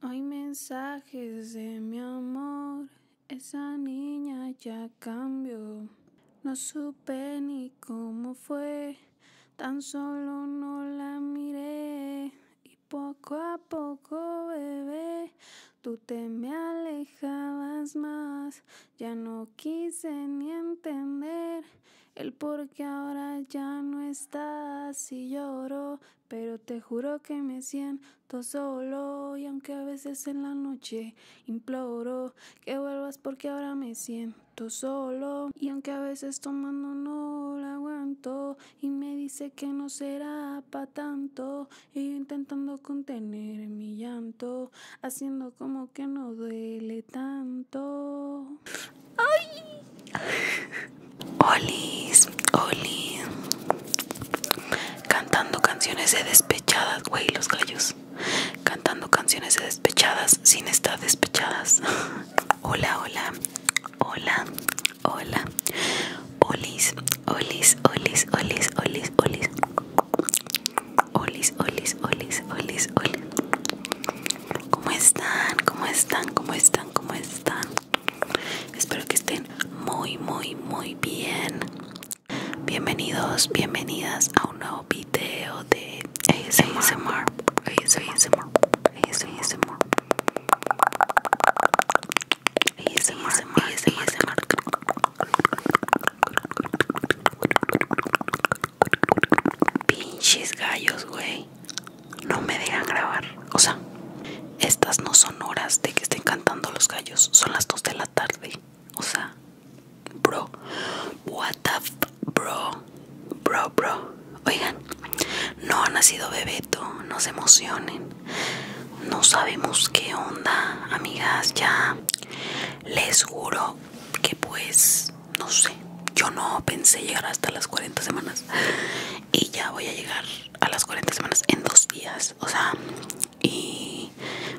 Hay mensajes de mi amor, esa niña ya cambió. No supe ni cómo fue, tan solo no la miré. Y poco a poco, bebé, tú te me alejabas más. Ya no quise ni entender el por qué ahora ya no estás. Y lloro pero te juro que me siento solo y aunque a veces en la noche imploro que vuelvas porque ahora me siento solo y aunque a veces tomando no lo aguanto y me dice que no será para tanto y intentando contener mi llanto haciendo como que no duele tanto. ¡Ay! Olis, Olis, Cantando canciones de despechadas, güey, los gallos. Cantando canciones de despechadas sin estar despechadas. hola, hola, hola, hola. Olis, olis, olis, olis, olis, olis. Olis, olis, olis, olis, olis. ¿Cómo están? ¿Cómo están? ¿Cómo están? ¿Cómo están? Espero que estén muy, muy, muy bien. Bienvenidos, bienvenidas a un nuevo video de ASMR. ASMR. ASMR. ASMR. ASMR. Pinches gallos, güey no me dejan grabar. O sea, estas no son horas de que estén cantando los gallos, son las 2 de la tarde. O sea, bro, what the bro, bro, bro. Oigan, no ha nacido Bebeto, no se emocionen. No sabemos qué onda, amigas, ya. Les juro que pues, no sé, yo no pensé llegar hasta las 40 semanas y ya voy a llegar a las 40 semanas en dos días, o sea, y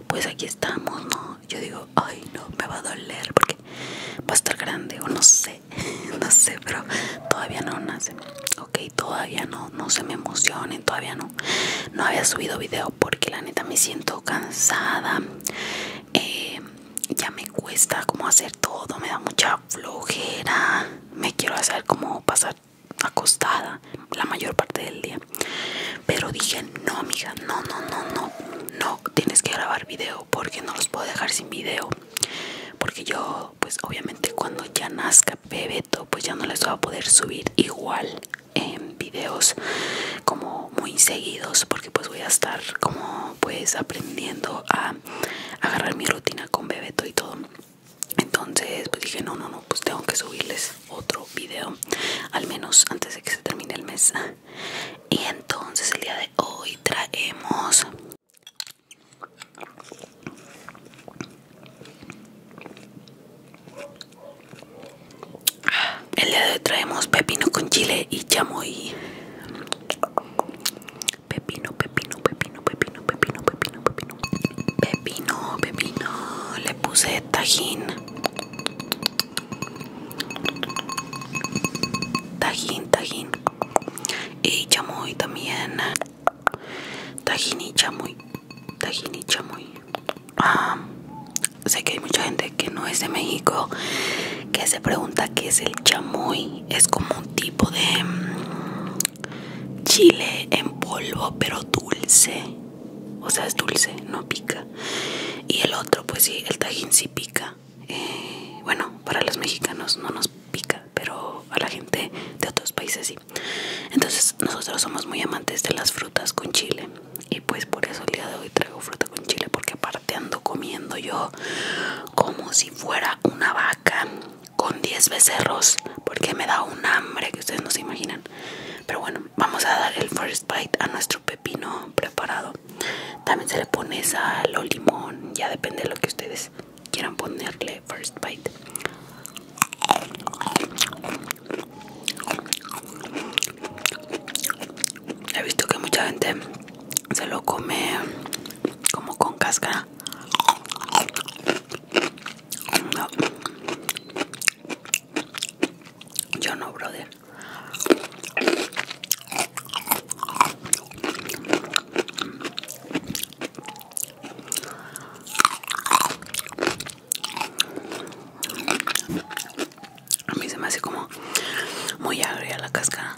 pues aquí estamos, ¿no? Yo digo, ay, no, me va a doler porque va a estar grande, o no sé, no sé, pero todavía no nace, ok, todavía no, no se me emocionen, todavía no, no había subido video porque la neta me siento cansada, eh, ya me cuesta como hacer todo, me da mucha flojera me quiero hacer como pasar acostada la mayor parte del día pero dije no amiga no no no no no tienes que grabar video porque no los puedo dejar sin video porque yo pues obviamente cuando ya nazca bebeto pues ya no les voy a poder subir igual en videos como muy seguidos porque pues voy a estar como pues aprendiendo a agarrar mi rutina con bebeto y todo entonces pues dije no no no pues tengo que subirles otro video al menos antes de que se termine el mes y entonces el día de hoy traemos el día de hoy traemos pepino con chile y chamoy Pepino, pepino, pepino, pepino, pepino, pepino, pepino. Pepino, pepino. Le puse tajín. Tajín, tajín. Y chamoy también. Tajín y chamoy. Tajín y chamoy. Ah, sé que hay mucha gente que no es de México que se pregunta qué es el chamoy. Es como un tipo de chile en polvo pero dulce o sea es dulce no pica y el otro pues sí el tajín sí pica eh, bueno para los mexicanos no nos pica pero a la gente de otros países sí entonces nosotros somos muy amantes de las frutas con chile y pues por eso el día de hoy traigo fruta con chile porque aparte ando comiendo yo como si fuera una vaca con 10 becerros porque me da un hambre que ustedes no se imaginan. Pero bueno, vamos a dar el first bite a nuestro pepino preparado. También se le pone sal o limón, ya depende de lo que ustedes quieran ponerle first bite. He visto que mucha gente se lo come como con cáscara yo no, brother. A mí se me hace como muy agria la cáscara.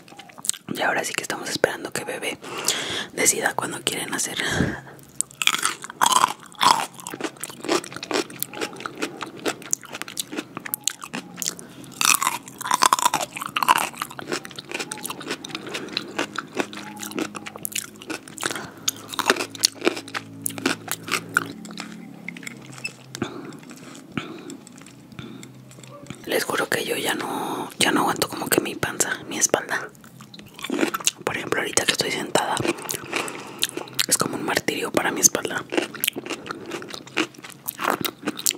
Y ahora sí que estamos esperando que bebé decida cuando quieren hacer. Les juro que yo ya no, ya no aguanto como que mi panza, mi espalda. Por ejemplo, ahorita que estoy sentada, es como un martirio para mi espalda.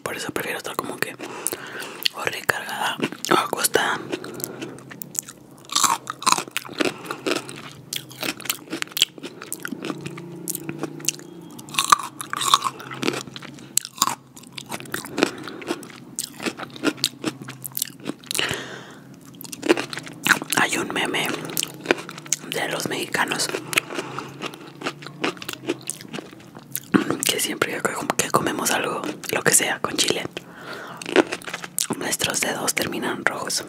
Por eso prefiero estar como que o recargada o acostada. Hay un meme de los mexicanos que siempre que comemos algo, lo que sea, con chile, nuestros dedos terminan rojos.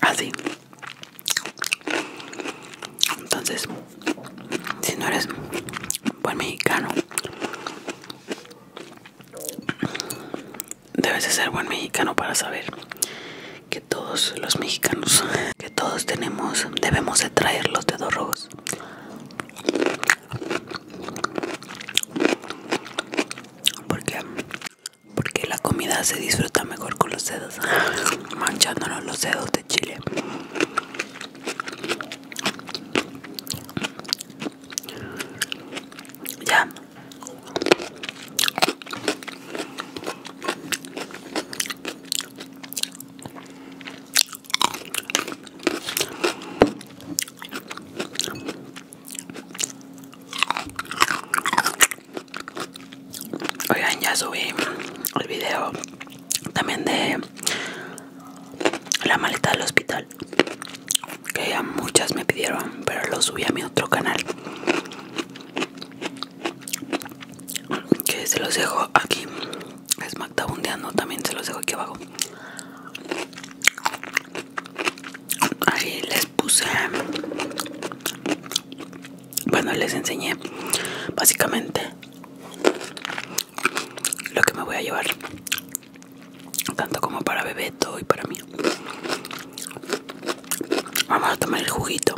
Así. Entonces, si no eres buen mexicano debes de ser buen mexicano para saber que todos los mexicanos que todos tenemos debemos de traer los dedos rojos porque porque la comida se disfruta mejor con los dedos manchándonos los dedos de chile ya. ya subí el video también de la maleta del hospital que ya muchas me pidieron pero lo subí a mi otro canal que se los dejo aquí es Magdabundeando también se los dejo aquí abajo ahí les puse bueno les enseñé básicamente lo que me voy a llevar tanto como para Bebeto y para mí vamos a tomar el juguito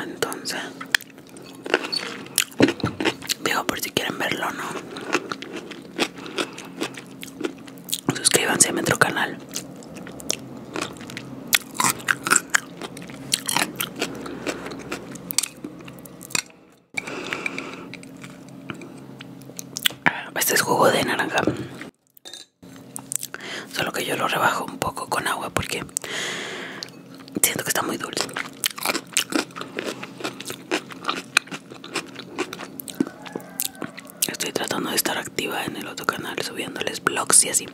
entonces digo por si quieren verlo no suscríbanse a nuestro canal ah, este es jugo de naranja solo que yo lo rebajo un poco con agua porque siento que está muy dulce Estoy tratando de estar activa en el otro canal subiéndoles vlogs y así.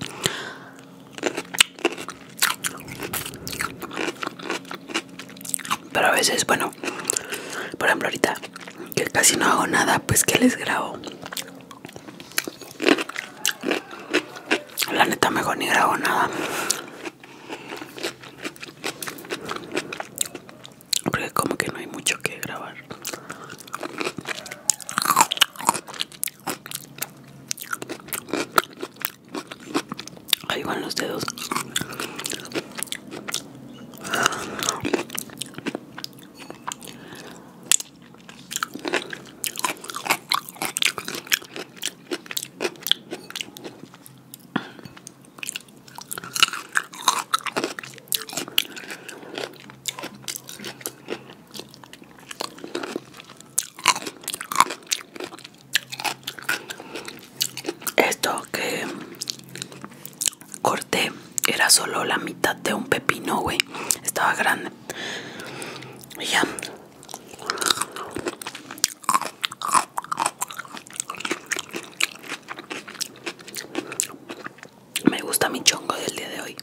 Pero a veces, bueno, por ejemplo ahorita que casi no hago nada, pues que les grabo. La neta mejor ni grabo nada. Porque como que no hay mucho que grabar. Ahí van los dedos. Esto que corté era solo la mitad de un pepino, güey. Estaba grande. Y ya. Me gusta mi chongo del día de hoy.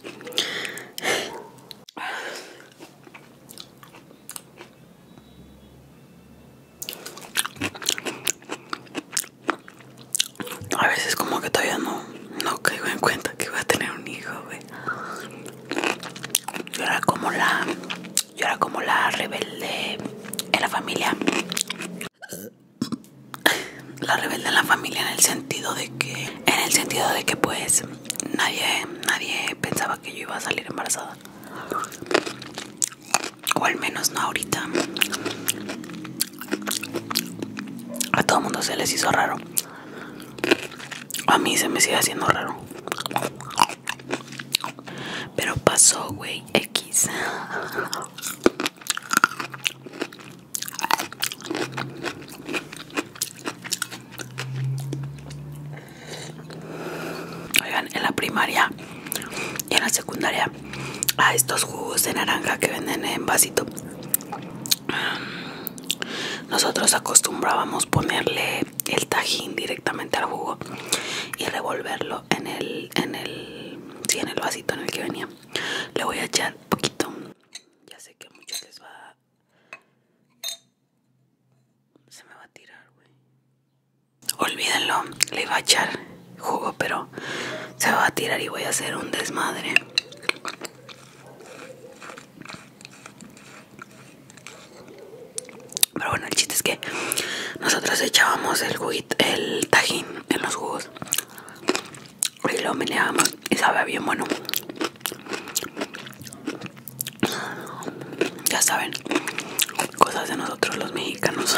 A veces como que todavía no, no caigo en cuenta que voy a tener un hijo, güey. era como la, yo era como la rebelde en la familia la rebelde en la familia en el sentido de que en el sentido de que pues nadie nadie pensaba que yo iba a salir embarazada o al menos no ahorita a todo mundo se les hizo raro a mí se me sigue haciendo raro pero pasó güey x Oigan, en la primaria y en la secundaria a estos jugos de naranja que venden en vasito nosotros acostumbrábamos ponerle el tajín directamente al jugo y revolverlo en el en el en el vasito en el que venía le voy a echar poquito. Ya sé que a muchos les va a... Se me va a tirar, Olvídenlo, le iba a echar jugo, pero se va a tirar y voy a hacer un desmadre. Pero bueno, el chiste es que nosotros echábamos el juguito, el tajín en los jugos y lo meneamos y sabe bien bueno ya saben cosas de nosotros los mexicanos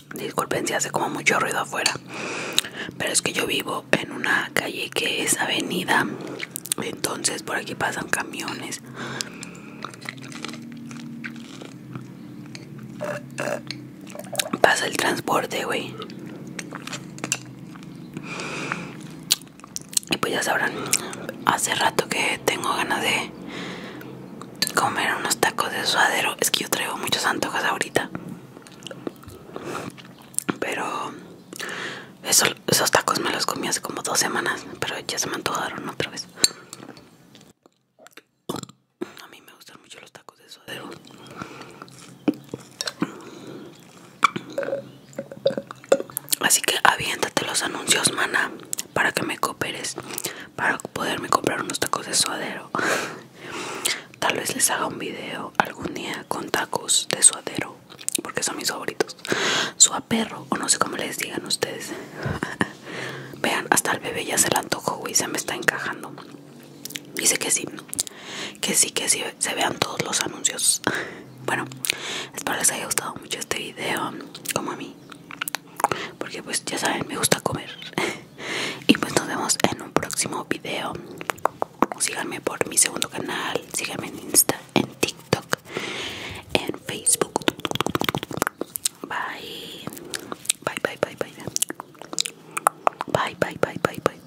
Disculpen si hace como mucho ruido afuera. Pero es que yo vivo en una calle que es avenida. Entonces por aquí pasan camiones. Pasa el transporte, güey. Y pues ya sabrán, hace rato que tengo ganas de comer unos tacos de suadero. Es que yo traigo muchos antojos ahorita. Pero esos tacos me los comí hace como dos semanas, pero ya se me antojaron otra vez. A mí me gustan mucho los tacos de suadero. Así que aviéntate los anuncios, mana, para que me cooperes, para poderme comprar unos tacos de suadero. Tal vez les haga un video algún día con tacos de suadero, porque son mis favoritos. Su Suaperro, o no sé cómo les digan ustedes. Vean, hasta el bebé ya se le antojó, y se me está encajando. Dice que sí, que sí, que sí, se vean todos los anuncios. Bueno, espero les haya gustado mucho este video, como a mí. Porque pues ya saben, me gusta comer. y pues nos vemos en un próximo video síganme por mi segundo canal síganme en insta en tiktok en facebook bye bye bye bye bye bye bye bye bye bye